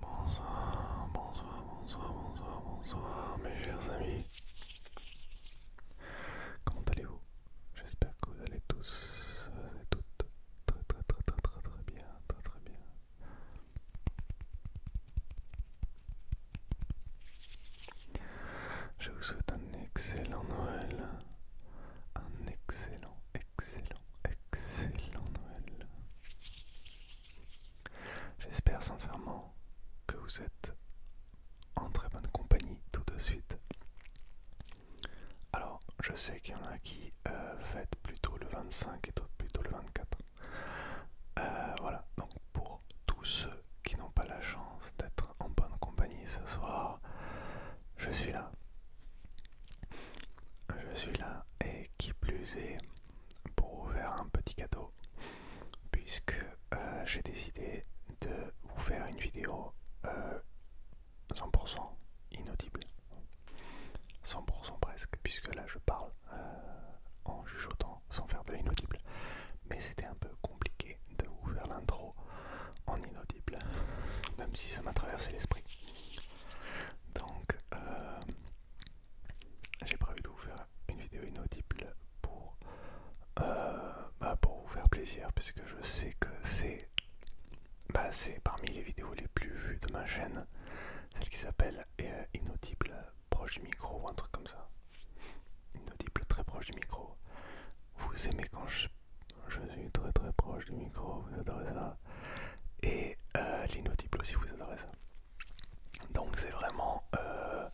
Bonsoir, bonsoir, bonsoir, bonsoir, bonsoir mes chers amis. Comment allez-vous J'espère que vous allez tous euh, et toutes très très très très très très bien, très très bien. Je vous souhaite un excellent Noël. Un excellent, excellent, excellent Noël. J'espère sincèrement que vous êtes en très bonne compagnie tout de suite. Alors, je sais qu'il y en a qui euh, fêtent plutôt le 25 et d'autres plutôt le 24. Euh, voilà, donc pour tous ceux qui n'ont pas la chance d'être en bonne compagnie ce soir. Je suis là. Je suis là et qui plus est pour vous faire un petit cadeau puisque euh, j'ai décidé de vous faire une vidéo 100% euh, inaudible. 100% presque puisque là je parle euh, en jugeotant sans faire de l'inaudible. Mais c'était un peu compliqué de vous faire l'intro en inaudible, même si ça m'a traversé l'esprit. Donc, euh, j'ai prévu de vous faire une vidéo inaudible pour, euh, bah, pour vous faire plaisir, puisque je sais que c'est bah parmi les vidéos les plus vues de ma chaîne, celle qui s'appelle euh, Inaudible proche micro ou un truc comme ça inaudible très proche du micro. Vous aimez quand je, suis très très proche du micro, vous adorez ça. Et euh, aussi, vous adorez ça. Donc c'est vraiment, euh,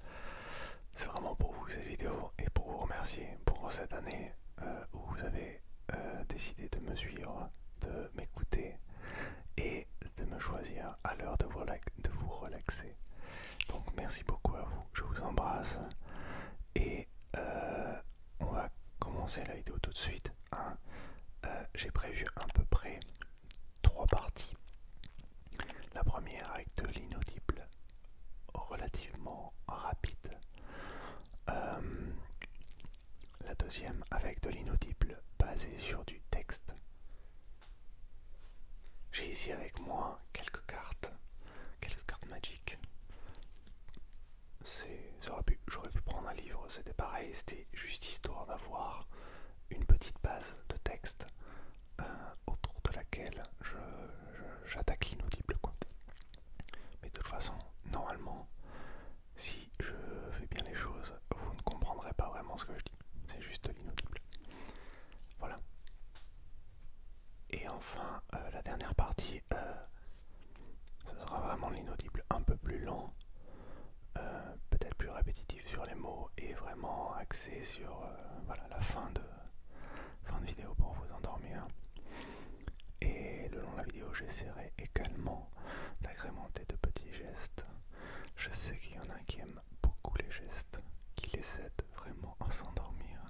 c'est vraiment pour vous cette vidéo et pour vous remercier pour cette année euh, où vous avez euh, décidé de me suivre, de m'écouter et de me choisir à l'heure de vous relaxer. Donc merci beaucoup à vous, je vous embrasse. Et euh, on va commencer la vidéo tout de suite. Hein. Euh, j'ai prévu à peu près trois parties. La première avec de l'inaudible relativement rapide. Euh, la deuxième avec de l'inaudible basé sur du texte. J'ai ici avec moi quelques cartes, quelques cartes magiques. J'aurais pu prendre un livre, c'était pareil, c'était juste histoire d'avoir une petite base de texte euh, autour de laquelle j'attaque l'inaudible. Mais de toute façon, normalement, si je fais bien les choses, vous ne comprendrez pas vraiment ce que je dis. C'est juste l'inaudible. Voilà. Et enfin, euh, la dernière partie, euh, ce sera vraiment l'inaudible un peu plus lent, euh, peut-être plus répétitif sur les mots et vraiment axé sur la fin de, fin de vidéo pour vous endormir. Et le long de la vidéo, j'essaierai également d'agrémenter de petits gestes. Je sais qu'il y en a qui aiment beaucoup les gestes qui les aident vraiment à s'endormir.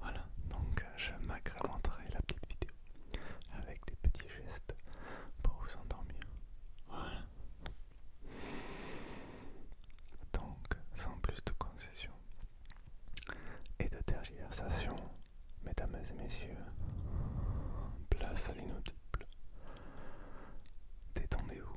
Voilà, donc euh, je m'agrémenterai la petite vidéo avec des petits gestes pour vous endormir. Voilà. Donc, sans plus de concessions et de tergiversation, mesdames et messieurs, place à l'inaudible. Détendez-vous,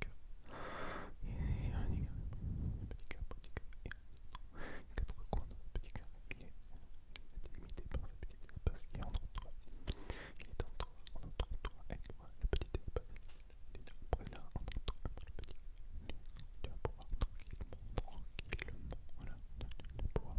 quatre coins dans le petit carré il est délimité par ce petit espace qui est entre toi. Il est entre toi, toi et le petit espace. Il est entre toi le petit Tu vas pouvoir tranquillement, tranquillement, voilà, tu vas pouvoir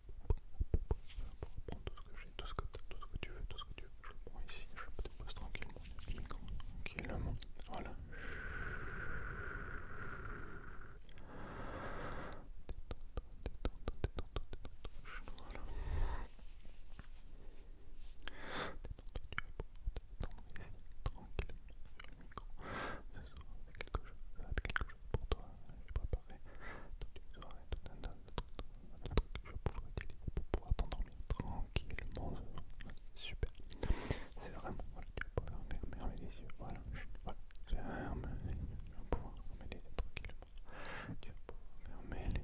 tout ce que j'ai, tout ce que tu veux, tout ce que tu veux. Je le prends ici, je le dépose tranquillement, tranquillement. Voilà. sur le micro. quelque chose, pour toi. J'ai préparé tout un que je pourrais pour pouvoir t'endormir tranquillement. Super. C'est vraiment, voilà, tu vas pouvoir fermer les yeux. Voilà, tranquillement. Tu vas pouvoir fermer les yeux fermer les yeux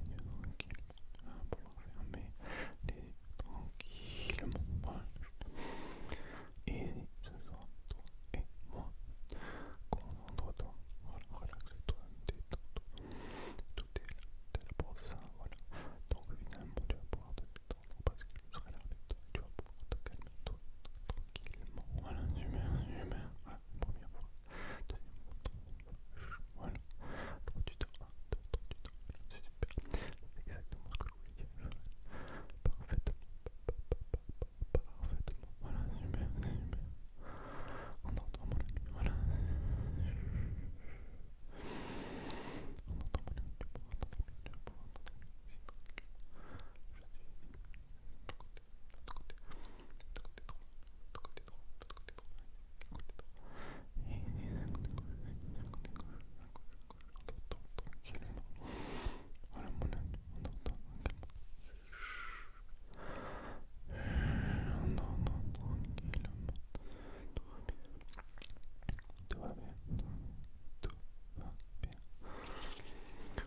tranquillement et ce sont toi et moi. Concentre-toi, relaxe-toi, détends-toi. Tout est là, pour ça, voilà. Donc finalement, tu vas pouvoir te parce que je serai là avec toi. Tu vas pouvoir te calmer, toi, tranquillement. Voilà, humain Voilà, première fois. Deuxième fois, Voilà. tu c'est super. exactement oui, Parfaitement. Voilà, c'est bien. On entend mon ami. Voilà. On entend On entend On entend côté côté droit, on entend tranquillement. Voilà mon ami, on entend tranquillement. On entend tranquillement. Tout va bien. Tout va bien. Tout va bien.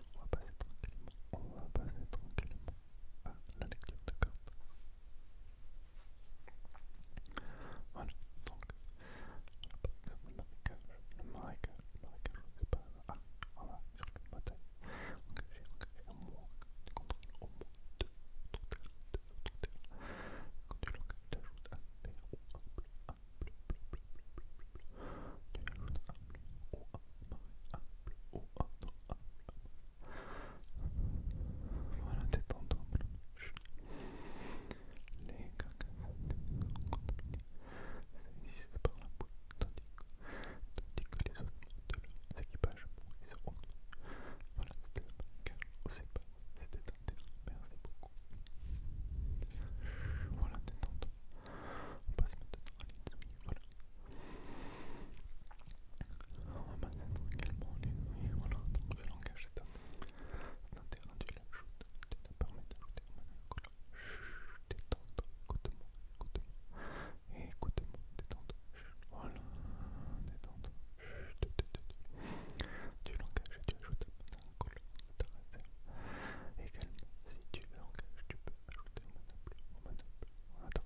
On va passer tranquillement. On va passer tranquillement à la lecture de cartes. Voilà, donc le marécage, le marécage, je sais pas. Ah, voilà, sur le ma Engagé, engagé, à moins que tu contrôles au moins deux deux Quand tu l'engages, tu ajoutes un ou un un bleu, bleu, bleu, bleu, bleu, bleu. Tu ajoutes un bleu un un un un Voilà, détends-toi, mon les c'est par la tandis que, les autres de équipages Voilà, c'était le ne sait pas, c'était un merci beaucoup. Voilà, On passe maintenant à voilà. On va maintenant également l'insoumis, voilà. Donc le langage, c'est un, terrain d'ajouter Nicolas. Chut, détends écoute-moi, écoute-moi. Écoute-moi, détends chut. Voilà, détends Chut, tu, l'engages et tu ajoutes Madame Cola à ta Également, si tu l'engages, tu peux ajouter Madame Bleu à ta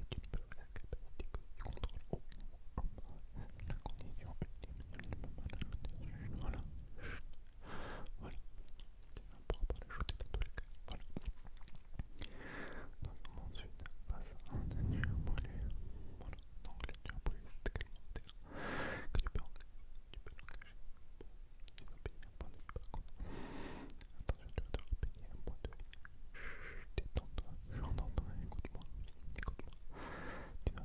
Et tu ne peux la capacité que tu contrôles au moins. La condition ultime, c'est le moment de la Voilà. Voilà. On ne pourra pas l'ajouter dans tous les cas. Voilà. Donc on ensuite passe à un annuaire brûlé. Voilà. Donc l'annuaire brûlé, c'est également un que tu peux l'engager. Bon, ils ont payé un point de vie par contre. Attention, tu vas devoir payer un point de vie. Chut, détends-toi, j'entends-toi, écoute-moi. Écoute-moi. Tu dois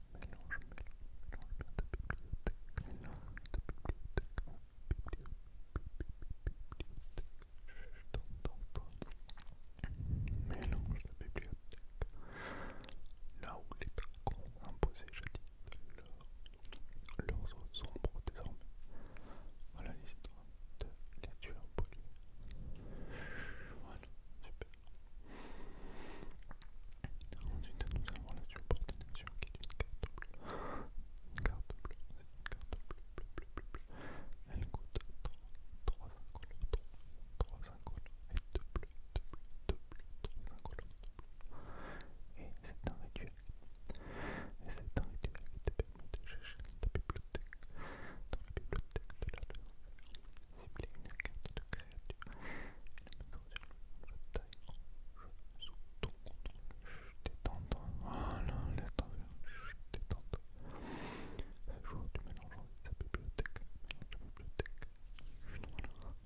mélange, mélange mélange de bibliothèque, mélange de bibliothèque, bibliothèque, je t'entends Mélange de bibliothèque, là où les dragons imposé jadis dis leurs ombres désormais. Voilà l'histoire de les tueurs polluée. Voilà, super. Ensuite, nous avons la subordination qui est une carte bleue. Une carte bleue, c'est une carte bleue, bleue, bleue, bleue, bleue. Elle coûte 3, 3 incolores, 3, 3 incolores et 2 bleus, 2 bleus, 2 bleus, 3 incolores, 2 bleus. Et c'est un rituel. Et c'est un rituel qui te permet de chercher dans ta bibliothèque, dans la bibliothèque de la loi. Cibler une carte de créature et la mettre sur le de taille en jeu sous ton contrôle. Détente. Voilà, laisse tomber. Détente. Ce joueur du mélange de sa bibliothèque. Mélange de bibliothèque. Voilà.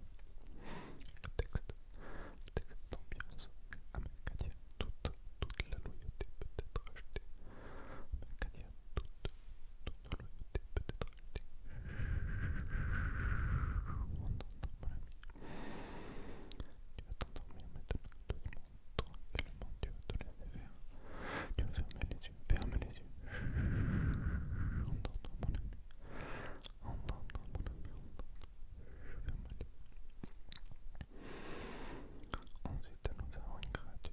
Le texte. Le texte d'ambiance. Amécadia, toute, toute la loyauté peut être achetée. Amécadia, toute, toute tu vas t'endormir maintenant doucement, tranquillement, tu vas te laisser faire. Tu vas fermer les yeux, ferme les yeux. entends mon ami. mon ami, Ferme les Ensuite nous avons une créature.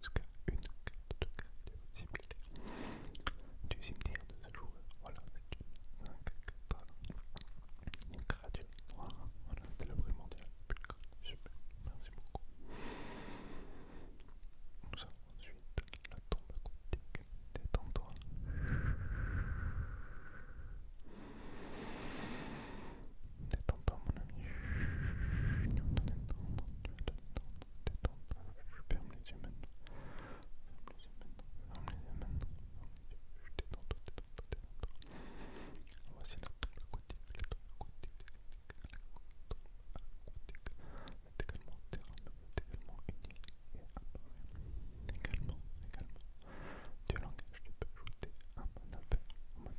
jusqu'à une carte de créature similaire du cimetière de ce joueur. Voilà, c'est 5 4 Voilà, c'est le Super, merci beaucoup. Nous avons ensuite la tombe aquatique. Détends-toi. Détends toi mon ami. ferme les yeux maintenant. Ferme les yeux maintenant. Ferme les yeux détends-toi, détends Voici la de Le la également également Également, Du langage, tu peux ajouter un bon maintenant,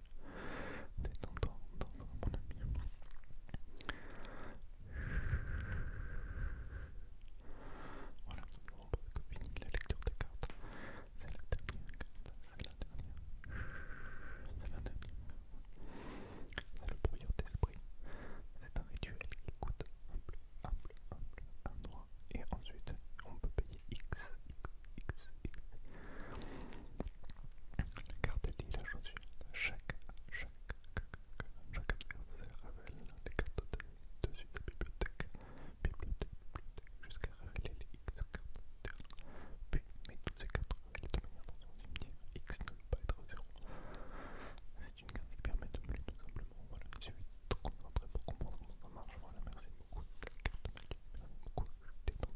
Détends-toi, mon ami. Voilà, on peut finir la lecture de cartes. C'est la dernière carte, c'est la dernière. C'est la dernière. C'est le brouillard d'esprit. C'est un rituel qui coûte un bleu, un bleu, un bleu, un noir. Et ensuite, on peut payer X, X, X, la carte est la chaussure. Chaque, à chaque adversaire révèle les cartes dessus la bibliothèque. Bibliothèque, bibliothèque, jusqu'à révéler les X cartes de terrain. Puis, mais toutes ces cartes révèlent de manière dans son cimetière. X ne peut pas être 0. C'est une carte qui permet de me tout simplement. Voilà, je suis de te concentrer pour comprendre comment ça marche. Voilà, merci beaucoup. La carte magique, merci beaucoup. détends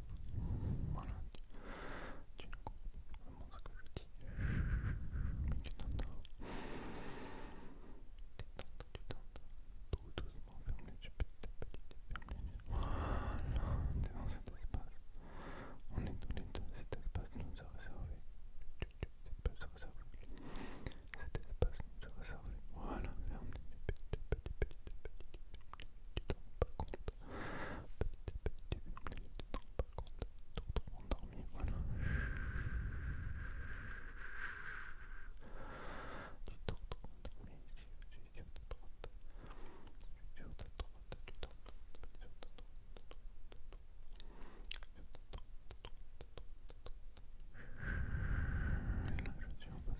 Voilà. Tu comprends vraiment ce que je dis. tu Tu Tout doucement, ferme les yeux, petit petit, ferme dans cet espace. On est tous cet espace nous a réservé. Cet espace nous réservé. Voilà, petit tu t'en rends pas compte. Petit petite petit, t'en pas compte. Tu te endormi, voilà. Tu te endormi je suis droite. Je suis tu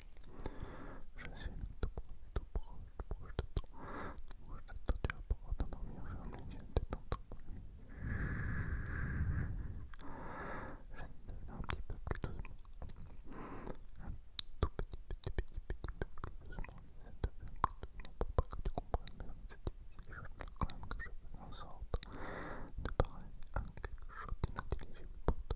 Je suis tout proche, tout proche, tout proche de toi. Tout proche de toi, tu vas pouvoir t'endormir, je un petit peu plus doucement. Un tout petit, petit, petit, petit peu plus doucement. Je vais doucement pour pas que tu comprennes, mais c'est difficile. Je veux quand même que je fais en sorte de parler à quelque chose d'inintelligible pour toi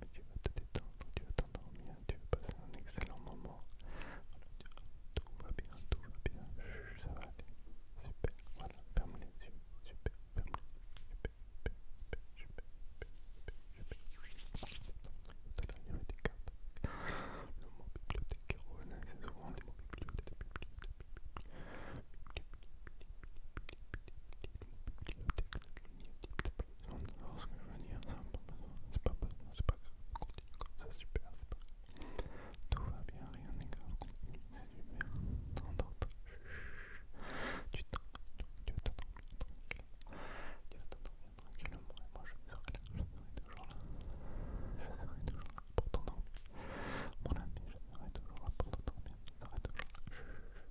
Mais tu vas te détendre, tu vas t'endormir, tu vas passer un excellent moment. tout va bien, tout va bien, ça va aller. Super, voilà, ferme les super, ferme super, super, Tout Le mot bibliothèque c'est souvent le mot bibliothèque. Alors ce que je veux dire, c'est pas besoin, c'est pas grave, continue comme ça, super, c'est pas grave. Tout va bien, rien n'est grave, c'est super. T'endors, tu t'endors, tu t'endors bien tranquille. Tu vas bien tranquillement et moi je me là, je serai toujours là. Je serai toujours là pour t'endormir. Mon ami, je serai toujours là pour t'endormir, je serai toujours là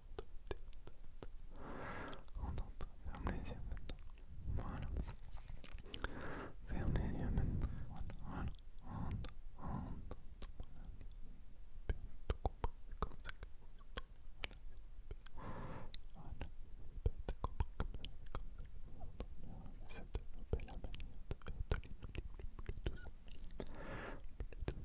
on entend. Ferme les yeux maintenant. Voilà. Ferme les yeux maintenant. Voilà. Voilà. On entend. On entend. Tout compris. C'est comme ça que vous entendez. Voilà. On compris comme ça. C'est comme ça que vous entendez. C'est de la belle manière de faire de l'inaudible. Bluetooth. Bluetooth.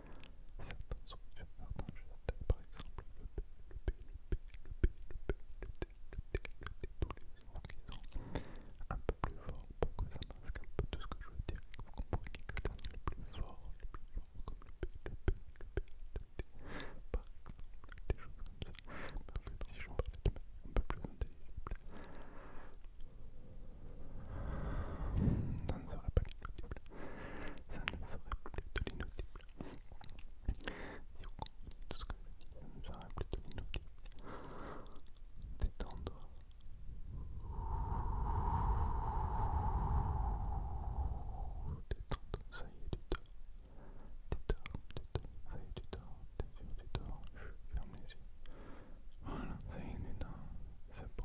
Certains sont sur certains gestes, par exemple le b le b le b le b le P, le d le T, le tous les sons qui sont un peu plus forts pour que ça masque un peu tout ce que je veux dire. Vous comprenez que là, le plus fort, le plus fort, comme le b le b le b le d par exemple, des choses comme ça. Mais en si je parlais de manière un peu plus intelligible, ça ne serait pas ça ne serait plus de l'inaudible. tout ce que je dis, ça ne serait plus de l'inaudible. Détendre. Détendre, ça y est, tu dors. Tu dors, ça y est, tu dors. T'es Je ferme les yeux. Voilà, ça y est, tu dors. C'est bon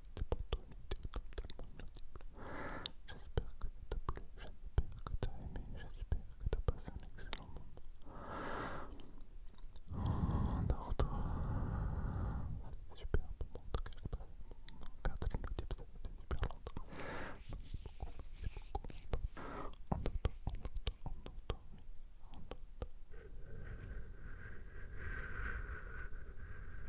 J'espère que ça t'a plu, j'espère que t'as aimé, j'espère que t'as passé un excellent moment. Endors-toi, c'est super super beaucoup, beaucoup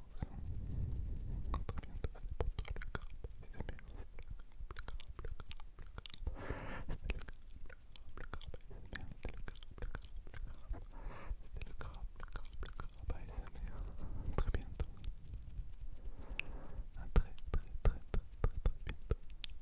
merci. A très bientôt, le crabe. le crabe, le le crabe, le crabe. C'était le crabe, le crabe, le crabe, le très très, très, très, très bientôt.